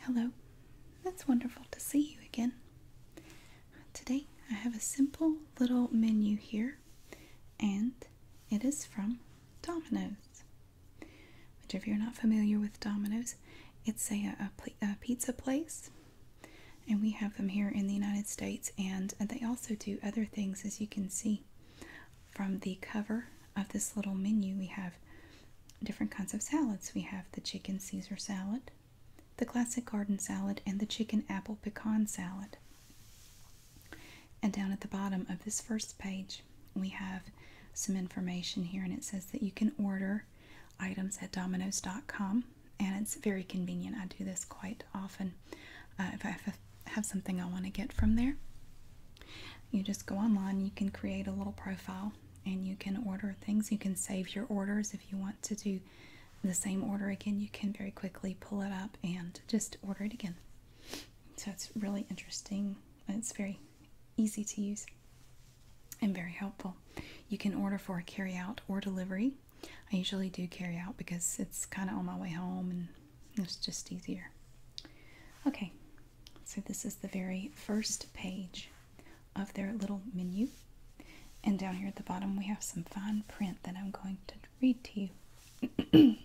Hello, that's wonderful to see you again. Today I have a simple little menu here, and it is from Domino's. Which, if you're not familiar with Domino's, it's a, pizza place, and we have them here in the United States, and they also do other things as you can see from the cover of this little menu, we have different kinds of salads. We have the chicken Caesar salad, the classic garden salad, and the chicken apple pecan salad. And down at the bottom of this first page, we have some information here, and it says that you can order items at Domino's.com, and it's very convenient. I do this quite often uh, if I have something I want to get from there. You just go online, you can create a little profile and you can order things. You can save your orders if you want to do the same order again. You can very quickly pull it up and just order it again. So it's really interesting. It's very easy to use and very helpful. You can order for carry out or delivery. I usually do carry out because it's kind of on my way home and it's just easier. Okay, so, this is the very first page of their little menu. And down here at the bottom, we have some fine print that I'm going to read to you.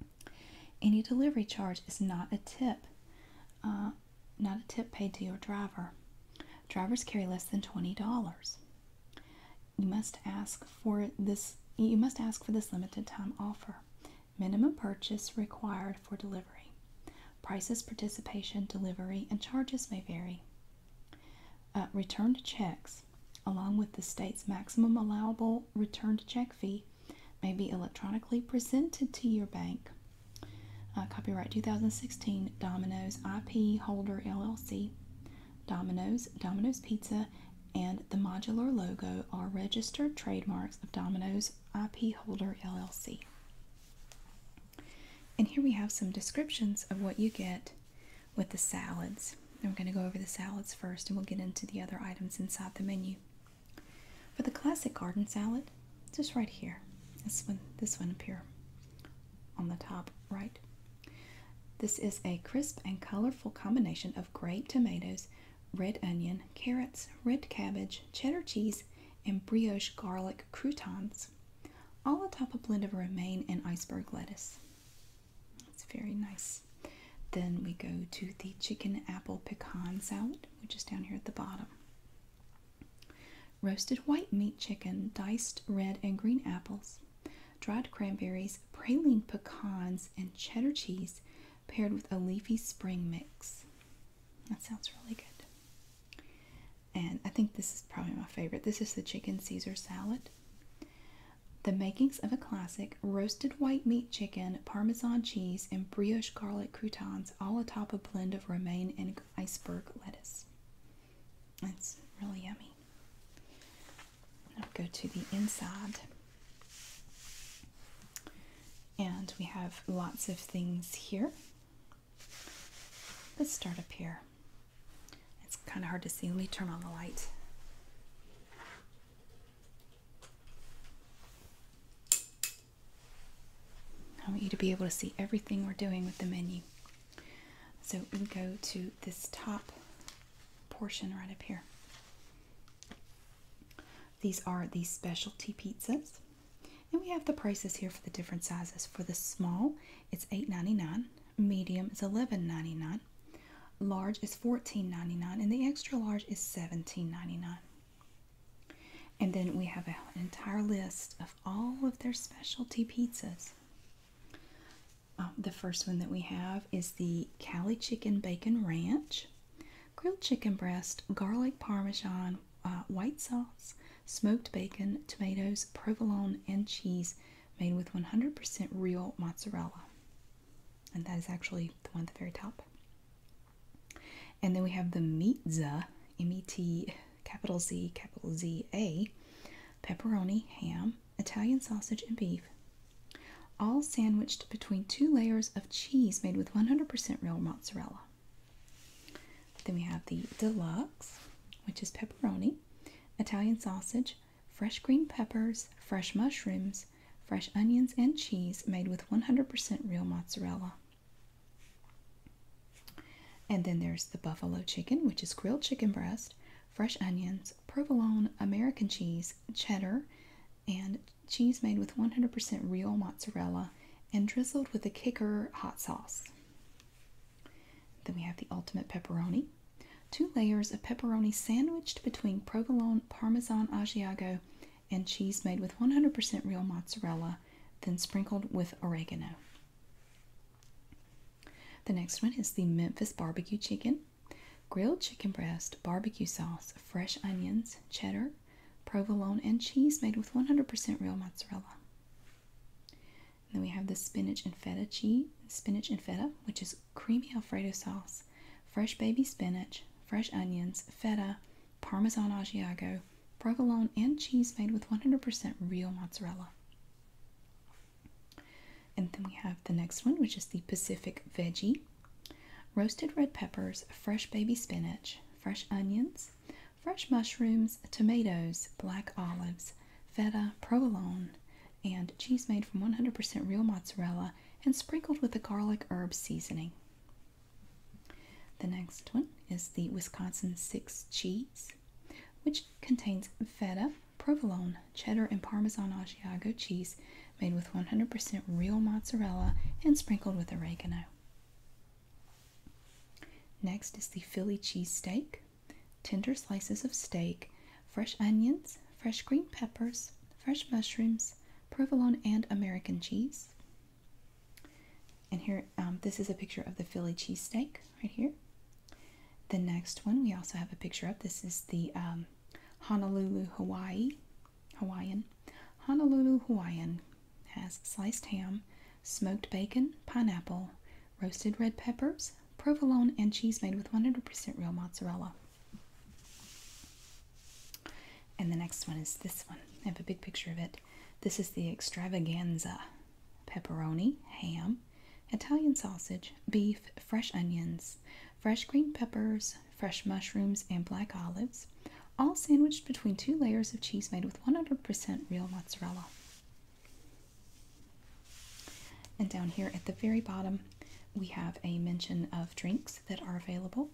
Any delivery charge is not a tip, uh, not a tip paid to your driver. Drivers carry less than $20. You must ask for this you must ask for this limited time offer. Minimum purchase required for delivery. Prices, participation, delivery, and charges may vary. Uh, returned checks, along with the state's maximum allowable returned check fee, may be electronically presented to your bank. Uh, copyright 2016 Domino's IP Holder LLC. Domino's, Domino's Pizza, and the modular logo are registered trademarks of Domino's IP Holder LLC. And here we have some descriptions of what you get with the salads. And we're going to go over the salads first and we'll get into the other items inside the menu. For the classic garden salad, just right here. This one, this one up here on the top right. This is a crisp and colorful combination of grape tomatoes, red onion, carrots, red cabbage, cheddar cheese, and brioche garlic croutons, all atop a blend of romaine and iceberg lettuce. It's very nice. Then we go to the chicken apple pecan salad, which is down here at the bottom. Roasted white meat chicken, diced red and green apples, dried cranberries, praline pecans, and cheddar cheese paired with a leafy spring mix. That sounds really good. And I think this is probably my favorite. This is the chicken Caesar salad. The makings of a classic roasted white meat chicken, parmesan cheese, and brioche garlic croutons, all atop a blend of romaine and iceberg lettuce. It's really yummy. i go to the inside. And we have lots of things here. Let's start up here. It's kind of hard to see. Let me turn on the light. I want you to be able to see everything we're doing with the menu. So we go to this top portion right up here. These are the specialty pizzas. And we have the prices here for the different sizes. For the small, it's $8.99. Medium is $11.99. Large is $14.99. And the extra large is $17.99. And then we have an entire list of all of their specialty pizzas. Um, the first one that we have is the Cali Chicken Bacon Ranch grilled chicken breast, garlic parmesan, uh, white sauce, smoked bacon, tomatoes, provolone, and cheese made with 100% real mozzarella. And that is actually the one at the very top. And then we have the Meatza, M E T capital Z capital Z A, pepperoni, ham, Italian sausage, and beef, all sandwiched between two layers of cheese made with 100% real mozzarella. Then we have the deluxe, which is pepperoni, Italian sausage, fresh green peppers, fresh mushrooms, fresh onions, and cheese made with 100% real mozzarella. And then there's the buffalo chicken, which is grilled chicken breast, fresh onions, provolone, American cheese, cheddar, and cheese made with 100% real mozzarella and drizzled with a kicker hot sauce. Then we have the ultimate pepperoni. Two layers of pepperoni sandwiched between provolone, parmesan Asiago, and cheese made with 100% real mozzarella, then sprinkled with oregano. The next one is the Memphis barbecue chicken. Grilled chicken breast, barbecue sauce, fresh onions, cheddar, provolone, and cheese made with 100% real mozzarella. then we have the spinach and feta cheese, spinach and feta, which is creamy Alfredo sauce, fresh baby spinach, fresh onions, feta, Parmesan Asiago, provolone, and cheese made with 100% real mozzarella. And then we have the next one, which is the Pacific Veggie, roasted red peppers, fresh baby spinach, fresh onions, fresh mushrooms, tomatoes, black olives, feta, provolone, and cheese made from 100% real mozzarella and sprinkled with a garlic herb seasoning. The next one is the Wisconsin Six Cheese, which contains feta, provolone, cheddar, and Parmesan Asiago cheese made with 100% real mozzarella and sprinkled with oregano. Next is the Philly cheesesteak. Tender slices of steak, fresh onions, fresh green peppers, fresh mushrooms, provolone, and American cheese. And here, um, this is a picture of the Philly cheesesteak right here. The next one we also have a picture of. This is the um, Honolulu, Hawaii, Hawaiian. Honolulu Hawaiian has sliced ham, smoked bacon, pineapple, roasted red peppers, provolone, and cheese made with 100% real mozzarella. And the next one is this one. I have a big picture of it. This is the extravaganza pepperoni, ham, Italian sausage, beef, fresh onions, fresh green peppers, fresh mushrooms, and black olives, all sandwiched between two layers of cheese made with 100% real mozzarella. And down here at the very bottom, we have a mention of drinks that are available.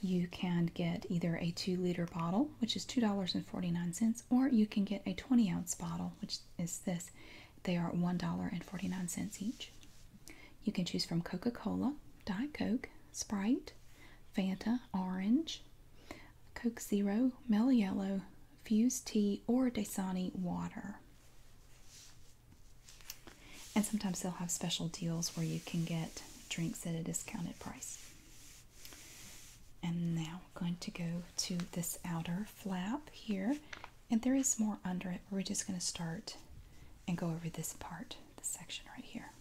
You can get either a two liter bottle, which is $2.49, or you can get a 20 ounce bottle, which is this. They are $1.49 each. You can choose from Coca Cola, Diet Coke, Sprite, Fanta, Orange, Coke Zero, Mellow Yellow, Fuse Tea, or Dasani Water. And sometimes they'll have special deals where you can get drinks at a discounted price. And now we're going to go to this outer flap here. And there is more under it, we're just going to start and go over this part this section right here.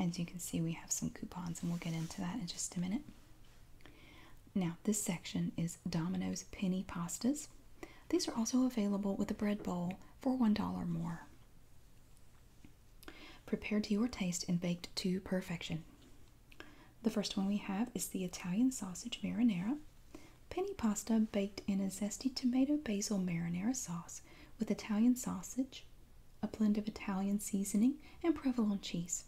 As you can see, we have some coupons, and we'll get into that in just a minute. Now, this section is Domino's Penny Pastas. These are also available with a bread bowl for $1 more. Prepared to your taste and baked to perfection. The first one we have is the Italian Sausage Marinara. Penny pasta baked in a zesty tomato basil marinara sauce with Italian sausage, a blend of Italian seasoning, and provolone cheese.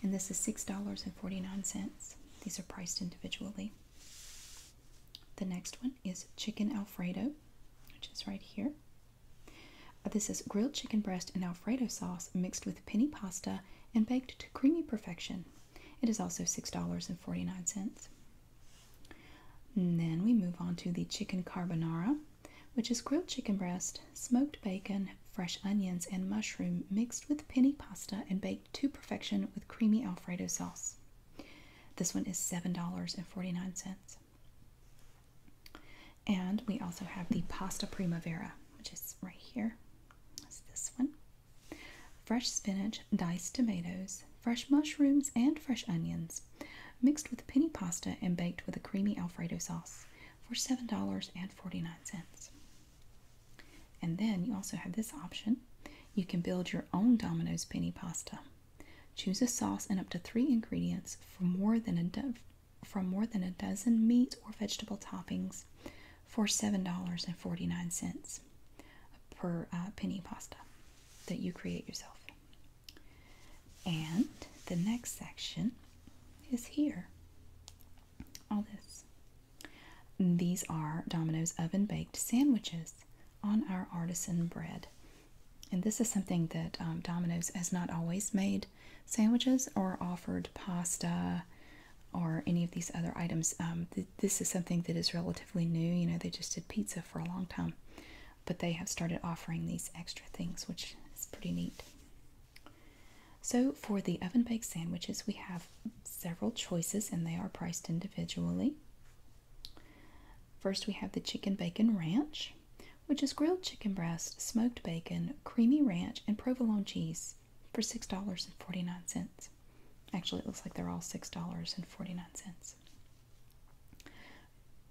And this is $6.49. These are priced individually. The next one is chicken alfredo, which is right here. Uh, this is grilled chicken breast and alfredo sauce mixed with penny pasta and baked to creamy perfection. It is also $6.49 then we move on to the chicken carbonara, which is grilled chicken breast, smoked bacon, fresh onions, and mushroom mixed with penne pasta and baked to perfection with creamy Alfredo sauce. This one is $7.49. And we also have the pasta primavera, which is right here. That's this one. Fresh spinach, diced tomatoes, fresh mushrooms, and fresh onions, mixed with penny pasta and baked with a creamy Alfredo sauce for $7.49. And then you also have this option. You can build your own Domino's penny pasta. Choose a sauce and up to three ingredients from more than a from more than a dozen meat or vegetable toppings for $7.49 per uh, penny pasta that you create yourself. And the next section is here. All this. These are Domino's oven baked sandwiches on our artisan bread. And this is something that um, Domino's has not always made sandwiches or offered pasta or any of these other items. Um, this is something that is relatively new. You know, they just did pizza for a long time, but they have started offering these extra things, which is pretty neat. So, for the oven baked sandwiches, we have several choices and they are priced individually. First, we have the chicken bacon ranch, which is grilled chicken breast, smoked bacon, creamy ranch, and provolone cheese for $6.49. Actually, it looks like they're all six dollars and forty nine cents.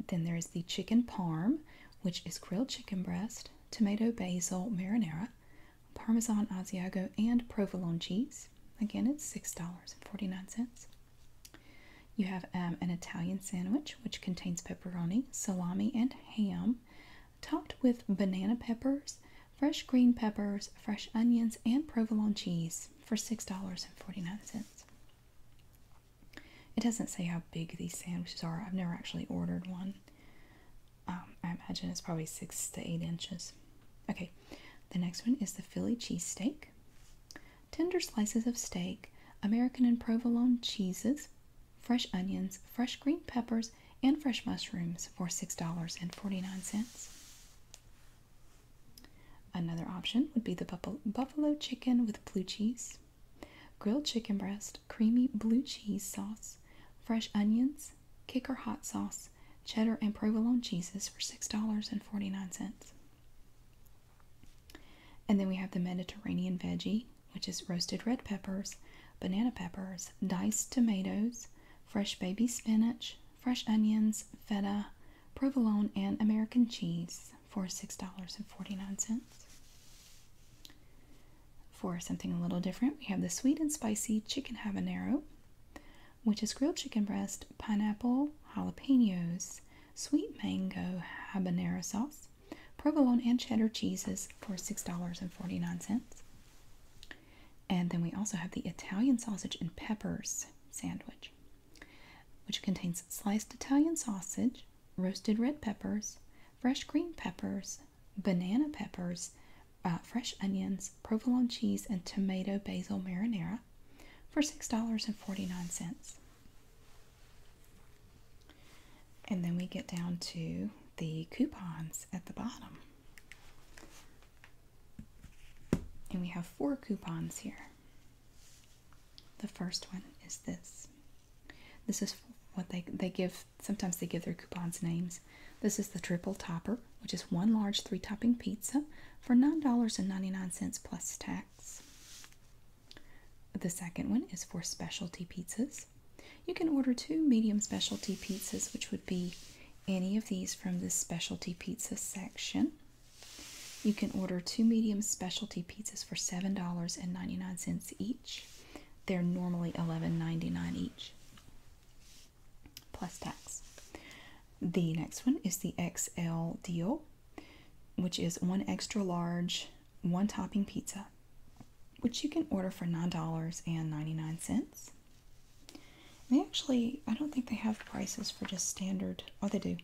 Then there is the chicken parm, which is grilled chicken breast, tomato basil marinara, parmesan Asiago, and provolone cheese. Again, it's six dollars and forty nine cents. You have um, an Italian sandwich, which contains pepperoni, salami, and ham, topped with banana peppers fresh green peppers, fresh onions, and provolone cheese for $6.49. It doesn't say how big these sandwiches are. I've never actually ordered one. Um, I imagine it's probably six to eight inches. Okay, the next one is the Philly cheesesteak. Tender slices of steak, American and provolone cheeses, fresh onions, fresh green peppers, and fresh mushrooms for $6.49. Another option would be the buffalo chicken with blue cheese, grilled chicken breast, creamy blue cheese sauce, fresh onions, kicker hot sauce, cheddar and provolone cheeses for $6.49. And then we have the Mediterranean veggie, which is roasted red peppers, banana peppers, diced tomatoes, fresh baby spinach, fresh onions, feta, provolone, and American cheese for $6.49. For something a little different, we have the sweet and spicy chicken habanero, which is grilled chicken breast, pineapple, jalapenos, sweet mango habanero sauce, provolone, and cheddar cheeses for $6.49. And then we also have the Italian sausage and peppers sandwich, which contains sliced Italian sausage, roasted red peppers, fresh green peppers, banana peppers, uh, fresh onions, provolone cheese, and tomato basil marinara for $6.49. And then we get down to the coupons at the bottom. And we have four coupons here. The first one is this. This is what they, they give, sometimes they give their coupons names. This is the triple topper, which is one large three topping pizza for $9.99 plus tax. The second one is for specialty pizzas. You can order two medium specialty pizzas, which would be any of these from the specialty pizza section. You can order two medium specialty pizzas for $7.99 each. They're normally $11.99 each, plus tax. The next one is the XL deal, which is one extra large, one topping pizza, which you can order for $9.99. They actually, I don't think they have prices for just standard. Oh, they do.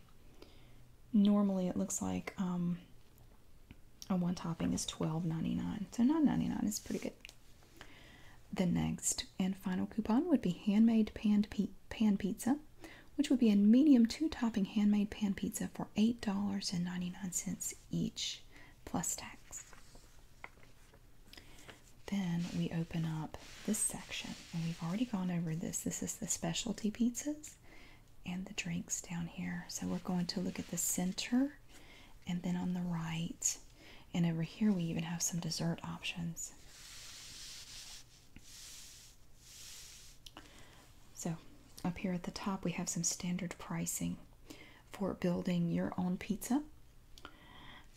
Normally, it looks like um, a one topping is $12.99. So $9.99 is pretty good. The next and final coupon would be handmade pan, pan pizza, which would be a medium two topping handmade pan pizza for $8.99 each plus tax. Then we open up this section, and we've already gone over this. This is the specialty pizzas and the drinks down here. So we're going to look at the center and then on the right. And over here, we even have some dessert options. So up here at the top, we have some standard pricing for building your own pizza.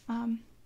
Um,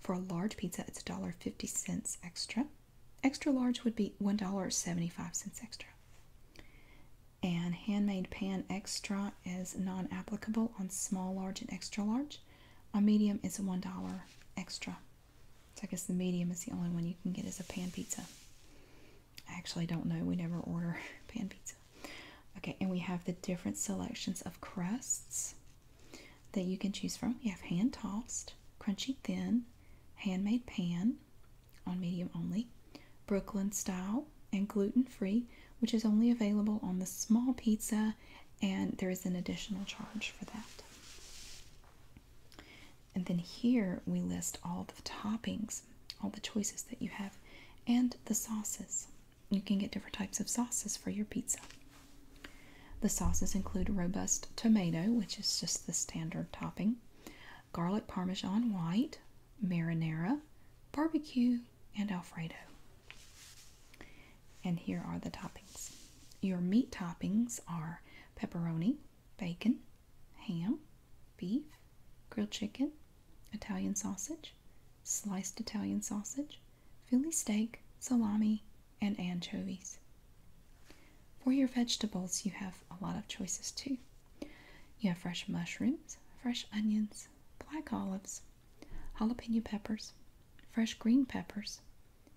For a large pizza, it's $1.50 extra. Extra large would be $1.75 extra. And handmade pan extra is non applicable on small, large, and extra large. A medium, it's $1 extra. I guess the medium is the only one you can get as a pan pizza. I actually don't know. We never order pan pizza. Okay, and we have the different selections of crusts that you can choose from. You have hand tossed, crunchy thin, handmade pan on medium only, Brooklyn style, and gluten free, which is only available on the small pizza, and there is an additional charge for that. And then here we list all the toppings, all the choices that you have, and the sauces. You can get different types of sauces for your pizza. The sauces include robust tomato, which is just the standard topping, garlic parmesan white, marinara, barbecue, and alfredo. And here are the toppings. Your meat toppings are pepperoni, bacon, ham, beef, grilled chicken, Italian sausage, sliced Italian sausage, Philly steak, salami, and anchovies. For your vegetables, you have a lot of choices too. You have fresh mushrooms, fresh onions, black olives, jalapeno peppers, fresh green peppers,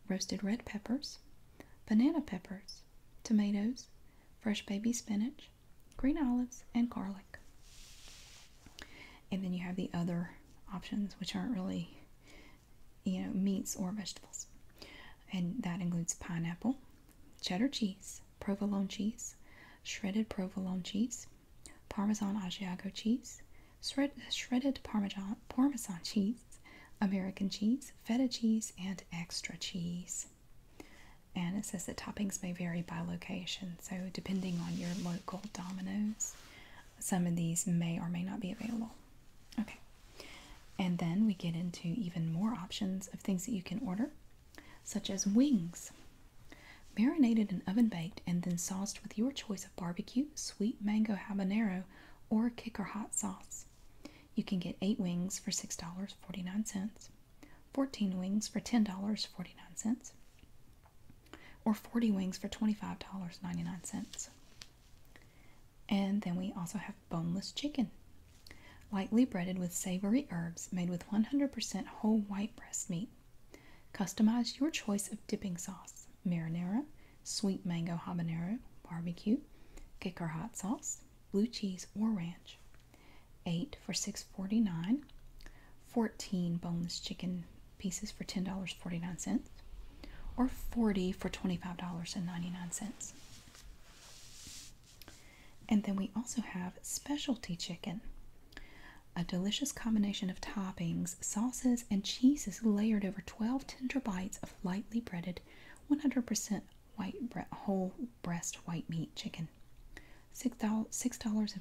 roasted red peppers, banana peppers, tomatoes, fresh baby spinach, green olives, and garlic. And then you have the other options, which aren't really you know, meats or vegetables. And that includes pineapple, cheddar cheese, provolone cheese, shredded provolone cheese, parmesan Asiago cheese, shredded parmesan cheese, American cheese, feta cheese, and extra cheese. And it says that toppings may vary by location, so depending on your local Domino's, some of these may or may not be available. Okay, and then we get into even more options of things that you can order, such as wings, marinated and oven baked, and then sauced with your choice of barbecue, sweet mango habanero, or kicker hot sauce. You can get 8 wings for $6.49, 14 wings for $10.49, or 40 wings for $25.99. And then we also have boneless chicken, lightly breaded with savory herbs, made with 100% whole white breast meat. Customize your choice of dipping sauce marinara, sweet mango habanero, barbecue, kick or hot sauce, blue cheese, or ranch. 8 for 6 14 boneless chicken pieces for $10.49 or 40 for $25.99. And then we also have specialty chicken, a delicious combination of toppings, sauces, and cheeses layered over 12 tender bites of lightly breaded 100% white whole breast white meat chicken. $6.49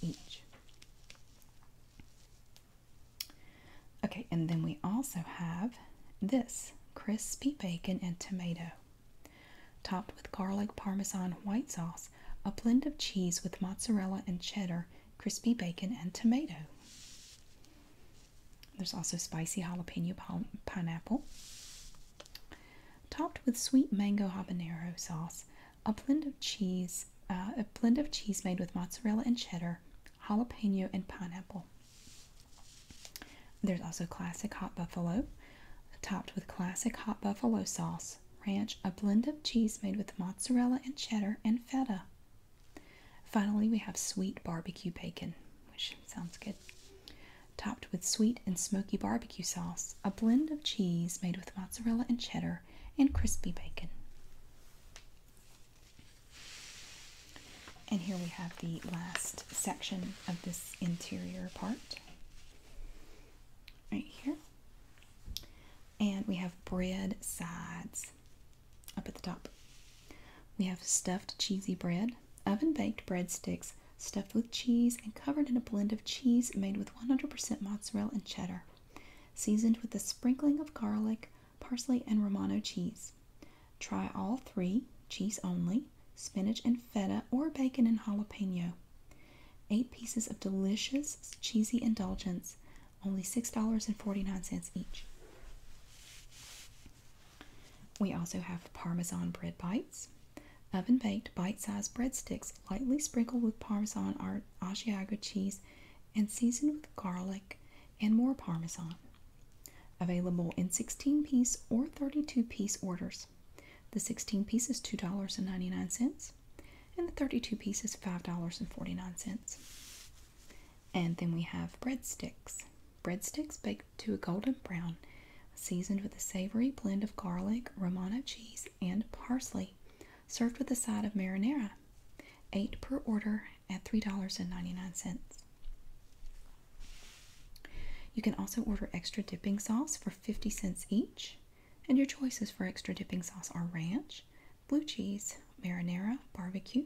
each. Okay, and then we also have this crispy bacon and tomato, topped with garlic parmesan white sauce, a blend of cheese with mozzarella and cheddar, crispy bacon and tomato. There's also spicy jalapeno pineapple, topped with sweet mango habanero sauce, a blend of cheese, uh, a blend of cheese made with mozzarella and cheddar, jalapeno and pineapple. There's also classic hot buffalo, topped with classic hot buffalo sauce, ranch, a blend of cheese made with mozzarella and cheddar and feta. Finally, we have sweet barbecue bacon, which sounds good. Topped with sweet and smoky barbecue sauce, a blend of cheese made with mozzarella and cheddar, and crispy bacon. And here we have the last section of this interior part, right here. And we have bread sides up at the top. We have stuffed cheesy bread, oven baked breadsticks stuffed with cheese and covered in a blend of cheese made with 100% mozzarella and cheddar seasoned with a sprinkling of garlic, parsley, and Romano cheese. Try all three cheese only, spinach and feta, or bacon and jalapeno. Eight pieces of delicious cheesy indulgence, only $6.49 each. We also have Parmesan bread bites. Oven baked bite sized breadsticks lightly sprinkled with Parmesan or Asiago cheese and seasoned with garlic and more parmesan. Available in 16 piece or 32 piece orders. The 16 pieces, is $2.99 and the 32 pieces, is $5.49. And then we have breadsticks. Breadsticks baked to a golden brown, seasoned with a savory blend of garlic, Romano cheese, and parsley, served with a side of marinara eight per order at $3.99. You can also order extra dipping sauce for 50 cents each, and your choices for extra dipping sauce are ranch, blue cheese, marinara, barbecue,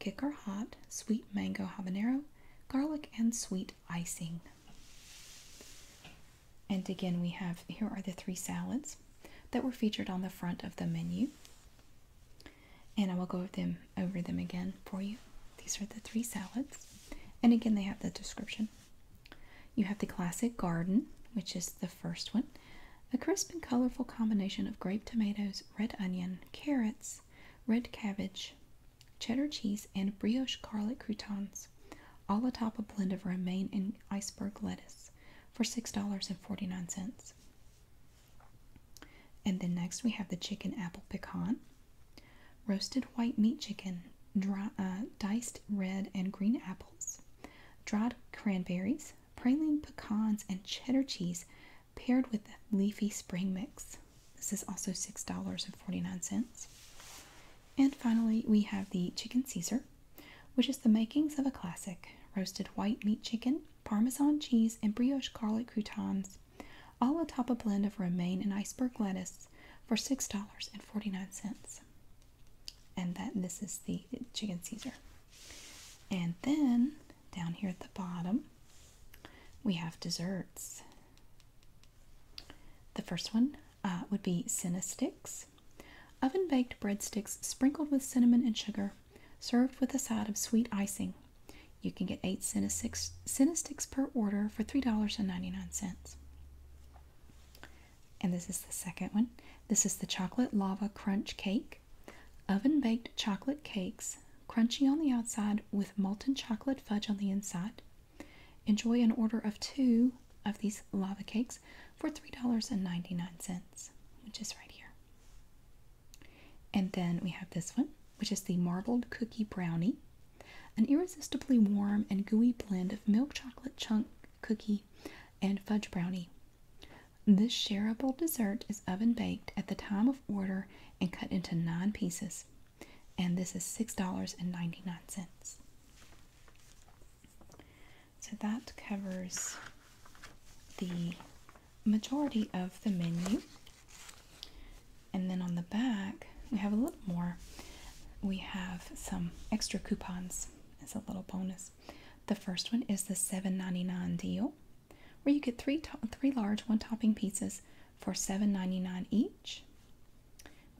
kick or hot, sweet mango habanero, garlic, and sweet icing. And again, we have here are the three salads that were featured on the front of the menu. And I will go over them over them again for you. These are the three salads. And again, they have the description. You have the classic garden, which is the first one. A crisp and colorful combination of grape tomatoes, red onion, carrots, red cabbage, cheddar cheese, and brioche garlic croutons, all atop a blend of romaine and iceberg lettuce for $6.49. And then next we have the chicken apple pecan, roasted white meat chicken, dry, uh, diced red and green apples, dried cranberries, praline pecans, and cheddar cheese paired with leafy spring mix. This is also $6.49. And finally, we have the chicken Caesar, which is the makings of a classic roasted white meat chicken, parmesan cheese, and brioche garlic croutons, all atop a blend of romaine and iceberg lettuce for $6.49. And that this is the chicken Caesar. And then down here at the bottom, we have desserts. The first one uh, would be Cinna Oven baked breadsticks sprinkled with cinnamon and sugar, served with a side of sweet icing. You can get eight cinnasticks, cinnasticks per order for $3.99. And this is the second one. This is the chocolate lava crunch cake. Oven baked chocolate cakes, crunchy on the outside with molten chocolate fudge on the inside. Enjoy an order of two of these lava cakes for $3.99, which is right here. And then we have this one, which is the marbled cookie brownie, an irresistibly warm and gooey blend of milk chocolate chunk cookie and fudge brownie. This shareable dessert is oven baked at the time of order and cut into nine pieces. And this is $6.99. So that covers the majority of the menu. And then on the back, we have a little more. We have some extra coupons as a little bonus. The first one is the seven ninety nine deal, where you get three, three large one topping pizzas for seven ninety nine each.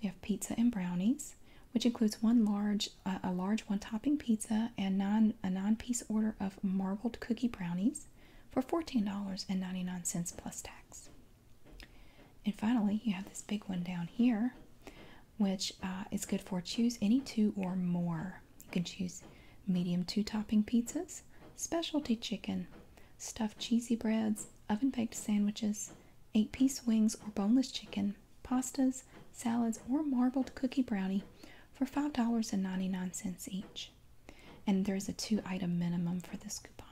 We have pizza and brownies, which includes one large a large one topping pizza and non a non piece order of marbled cookie brownies for $14.99 plus tax. And finally, you have this big one down here, which uh, is good for choose any two or more. You can choose medium two topping pizzas, specialty chicken, stuffed cheesy breads, oven baked sandwiches, eight piece wings or boneless chicken, pastas, salads, or marbled cookie brownie for $5.99 each. And there is a two item minimum for this coupon.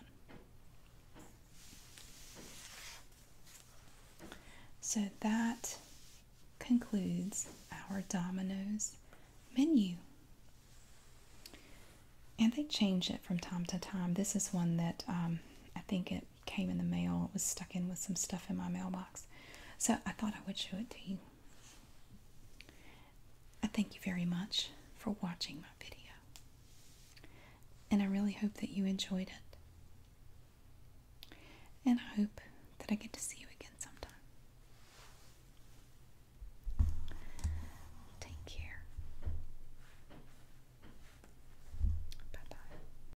So that concludes our Domino's menu. And they change it from time to time. This is one that um, I think it came in the mail. It was stuck in with some stuff in my mailbox. So I thought I would show it to you. I thank you very much for watching my video. And I really hope that you enjoyed it. And I hope that I get to see you again sometime. Take care. Bye bye.